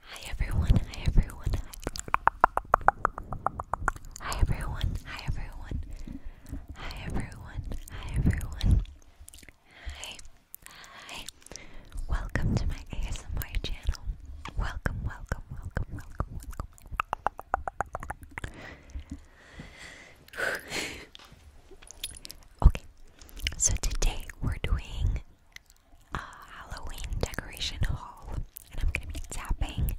Hi everyone, hi everyone, hi. Hi everyone, hi everyone. Hi everyone, hi everyone. Hi. Hi. Welcome to my ASMR channel. Welcome, welcome, welcome, welcome, welcome. okay. So today we're doing uh, Halloween decoration haul, and I'm gonna be tapping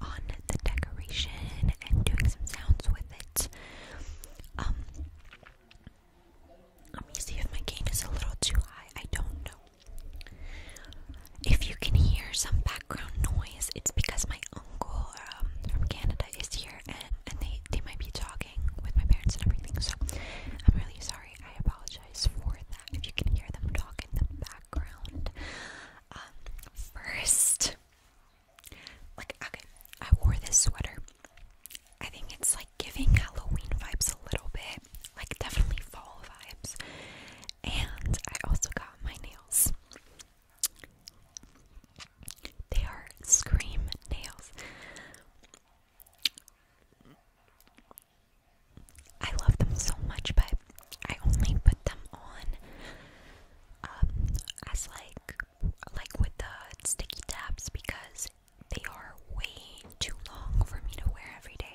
on the decoration and doing some sounds with it. Um, let me see if my gain is a little too high. I don't know. If you can hear some background noise, it's because my uncle um, from Canada is here and, and they, they might be talking with my parents and everything. So I'm really sorry. I apologize for that if you can hear them talk in the background. Um, first, like, okay, I wore this sweater. I think it's like giving Halloween vibes a little bit, like, definitely fall vibes. And I also got my nails. They are scream nails. I love them so much, but I only put them on um, as like like with the sticky tabs because they are way too long for me to wear every day.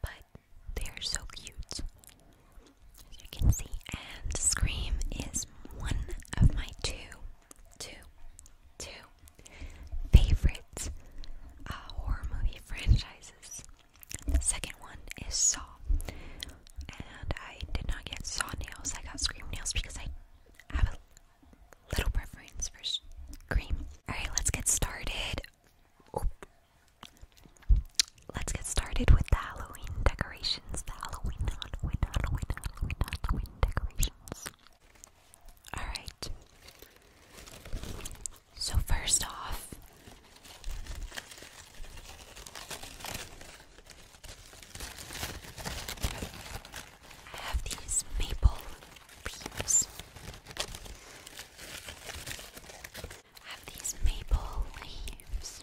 But they are so cute. As you can see, and Scream is one of my two two, two favorite uh, horror movie franchises. second one is Saw, and I did not get Saw nails. I got Scream nails because I have a little preference for Scream. All right, let's get started. Let's get started with the Halloween decorations the Halloween decorations. Alright. So, first off, I have these maple leaves. I have these maple leaves.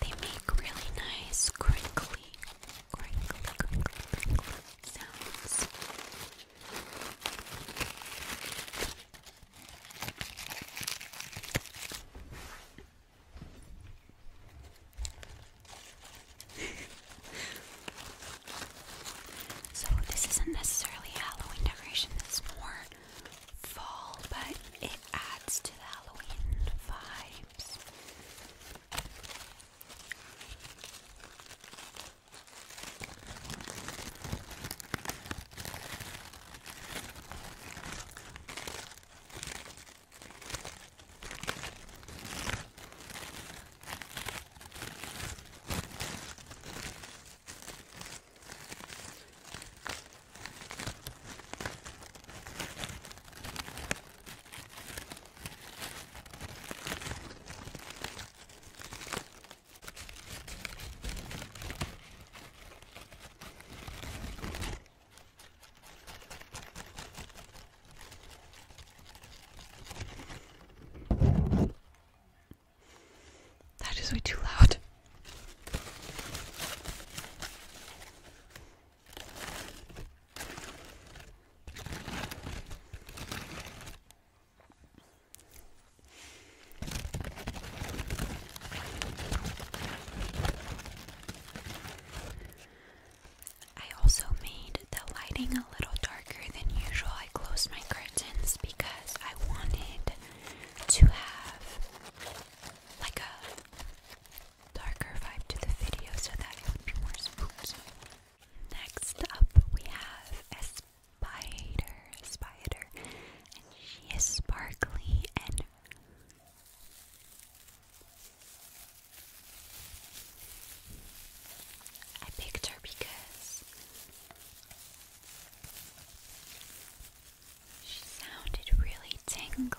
They make really nice crinkly, crinkly, crinkly, sounds. so this isn't necessarily Halloween decoration, it's more fall, but it adds to the Halloween vibes. That is way too loud. I also made the lighting a little darker than usual. I closed my curtains because I wanted to have like a darker vibe to the video so that it would be more spooky. Next up, we have a spider, spider, and she is sparkly and I picked her because she sounded really tingly.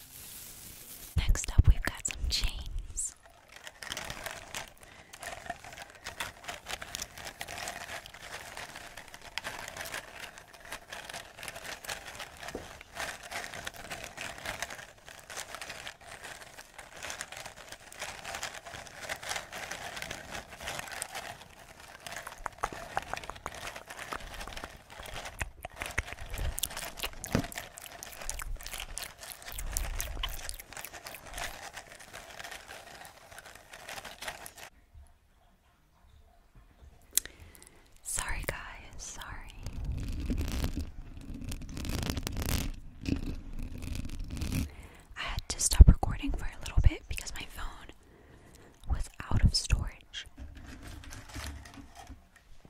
Next up, we've got some chains. Sorry, guys, sorry. I had to stop recording for a little bit because my phone was out of storage.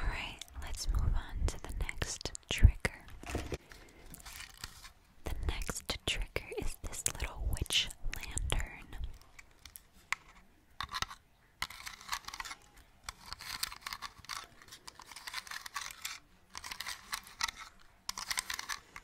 Alright, let's move on to the next trigger. The next trigger is this little witch lantern.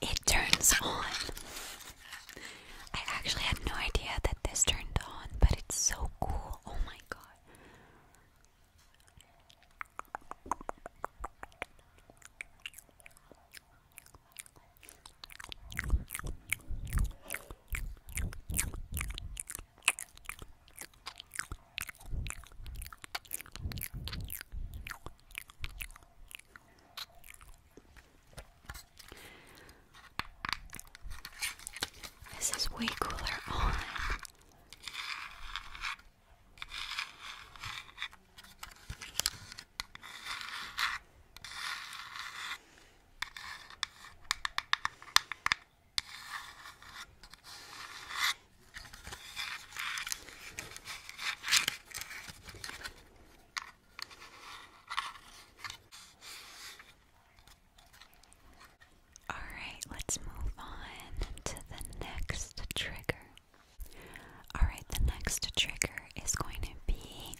it turns on. I actually had no idea that this turned on, but it's so cool. Oh my god. This is way cooler on. Alright, let's move on to the next trigger. Alright, the next trigger is going to be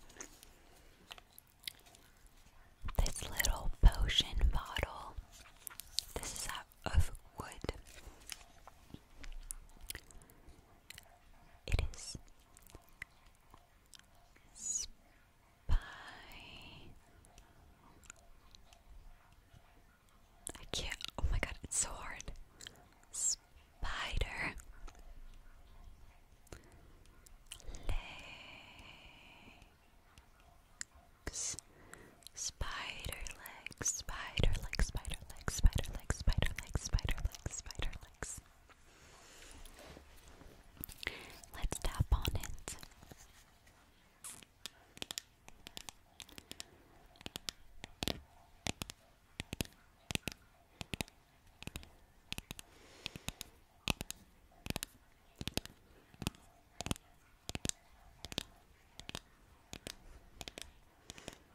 this little potion bottle. This is out of wood. It is spy. I can't. Oh my god, it's hard. Spider. Legs. Spider legs. Spider legs. Spider legs. Spider legs. Spider legs. Spider legs legs, spider legs. Let's tap on it.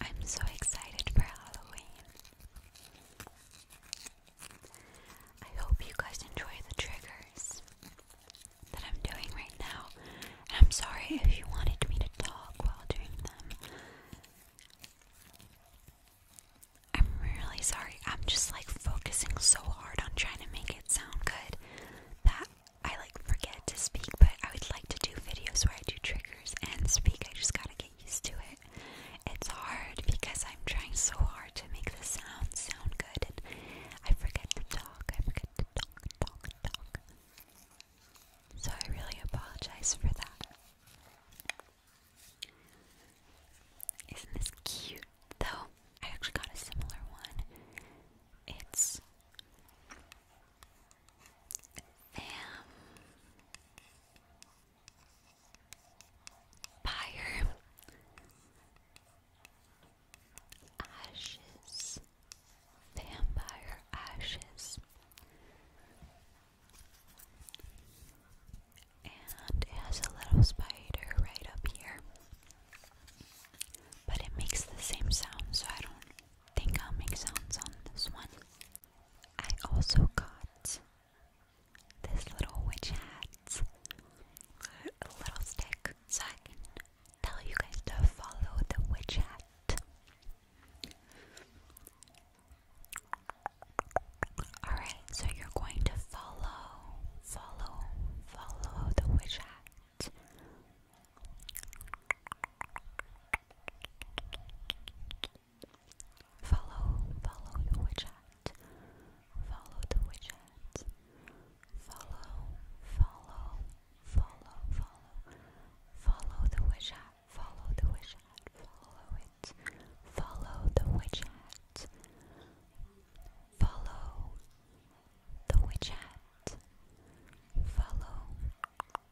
I'm so excited for Halloween. I hope you guys enjoy the triggers that I'm doing right now. I'm sorry if you wanted me to talk while doing them. I'm really sorry. I'm just like focusing so hard on trying to make it sound good that I like forget to speak, but I would like to do videos where I do triggers and speak. I just gotta get used to it. It's hard because I'm trying so hard to make the sound sound good, and I forget to talk. I forget to talk, talk, talk. So I really apologize for that. Isn't this cute though? I actually got a similar one. It's Fam Ashes Vampire Ashes and it has a little spider right up here. But it makes the same sound so I don't think I'll make sounds on this one. I also got this little witch hat, a little stick, so I can tell you guys to follow the witch hat. Alright, so you're going to follow, follow, follow the witch hat. Follow, follow the widget. Follow the widget. Follow, follow, follow, follow. Follow the widget. Follow the widget. Follow it. Follow the widget. Follow the widget. Follow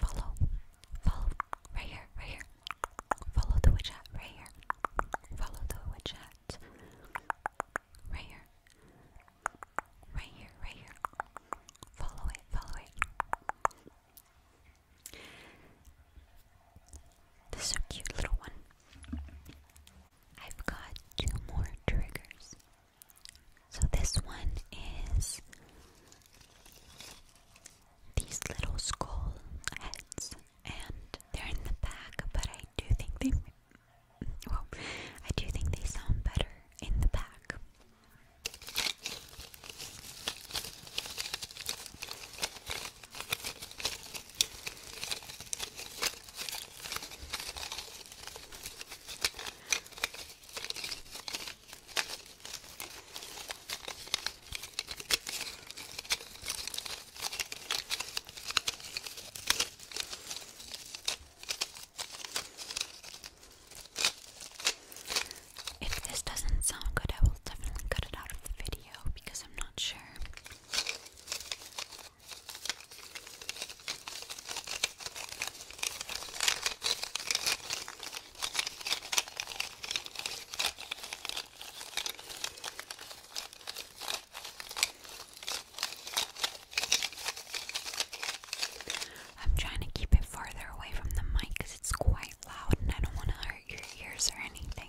Follow, follow, right here, right here. Follow the widget, right here. Follow the widget, right here, right here, right here. Follow it, follow it. This is a cute little one. I've got two more triggers. So this one is these little skull heads, and they're in the back, but I do think they well, I do think they sound better in the back. If this doesn't sound good, I will definitely cut it out of the video because I'm not sure. I'm trying to keep it farther away from the mic because it's quite loud and I don't want to hurt your ears or anything.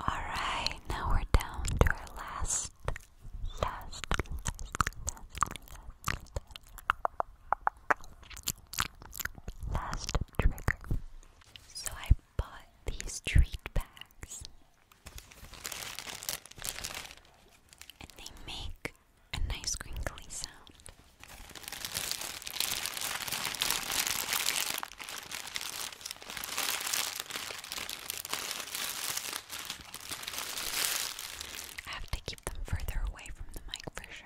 Alright, now we're down to our last, last, last, last, last trigger. So I bought these treat bags. And they make a nice crinkly sound. I have to keep them further away from the mic for sure.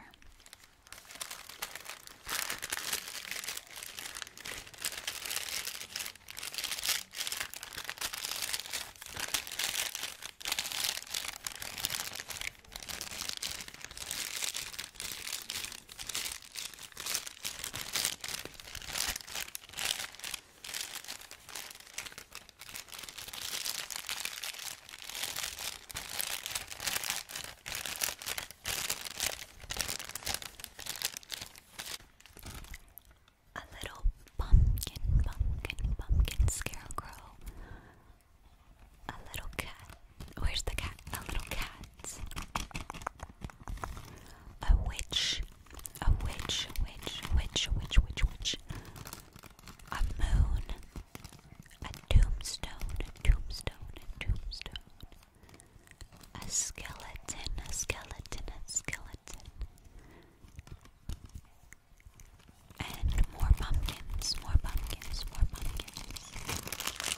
A little pumpkin, pumpkin, pumpkin scarecrow. A little cat. Where's the cat? A little cat. A witch, a witch, witch, witch, witch, witch, A moon, a tombstone, tombstone, tombstone. A skeleton, a skeleton, a skeleton. And more pumpkins, more pumpkins, more pumpkins.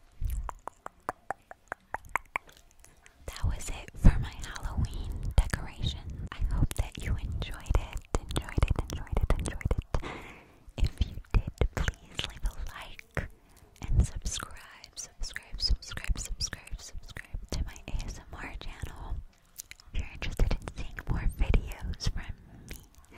That was it for my Halloween decoration. I hope that you enjoyed it, enjoyed it, enjoyed it, enjoyed it. If you did, please leave a like and subscribe, subscribe, subscribe, subscribe, subscribe to my ASMR channel. If you're interested in seeing more videos from me,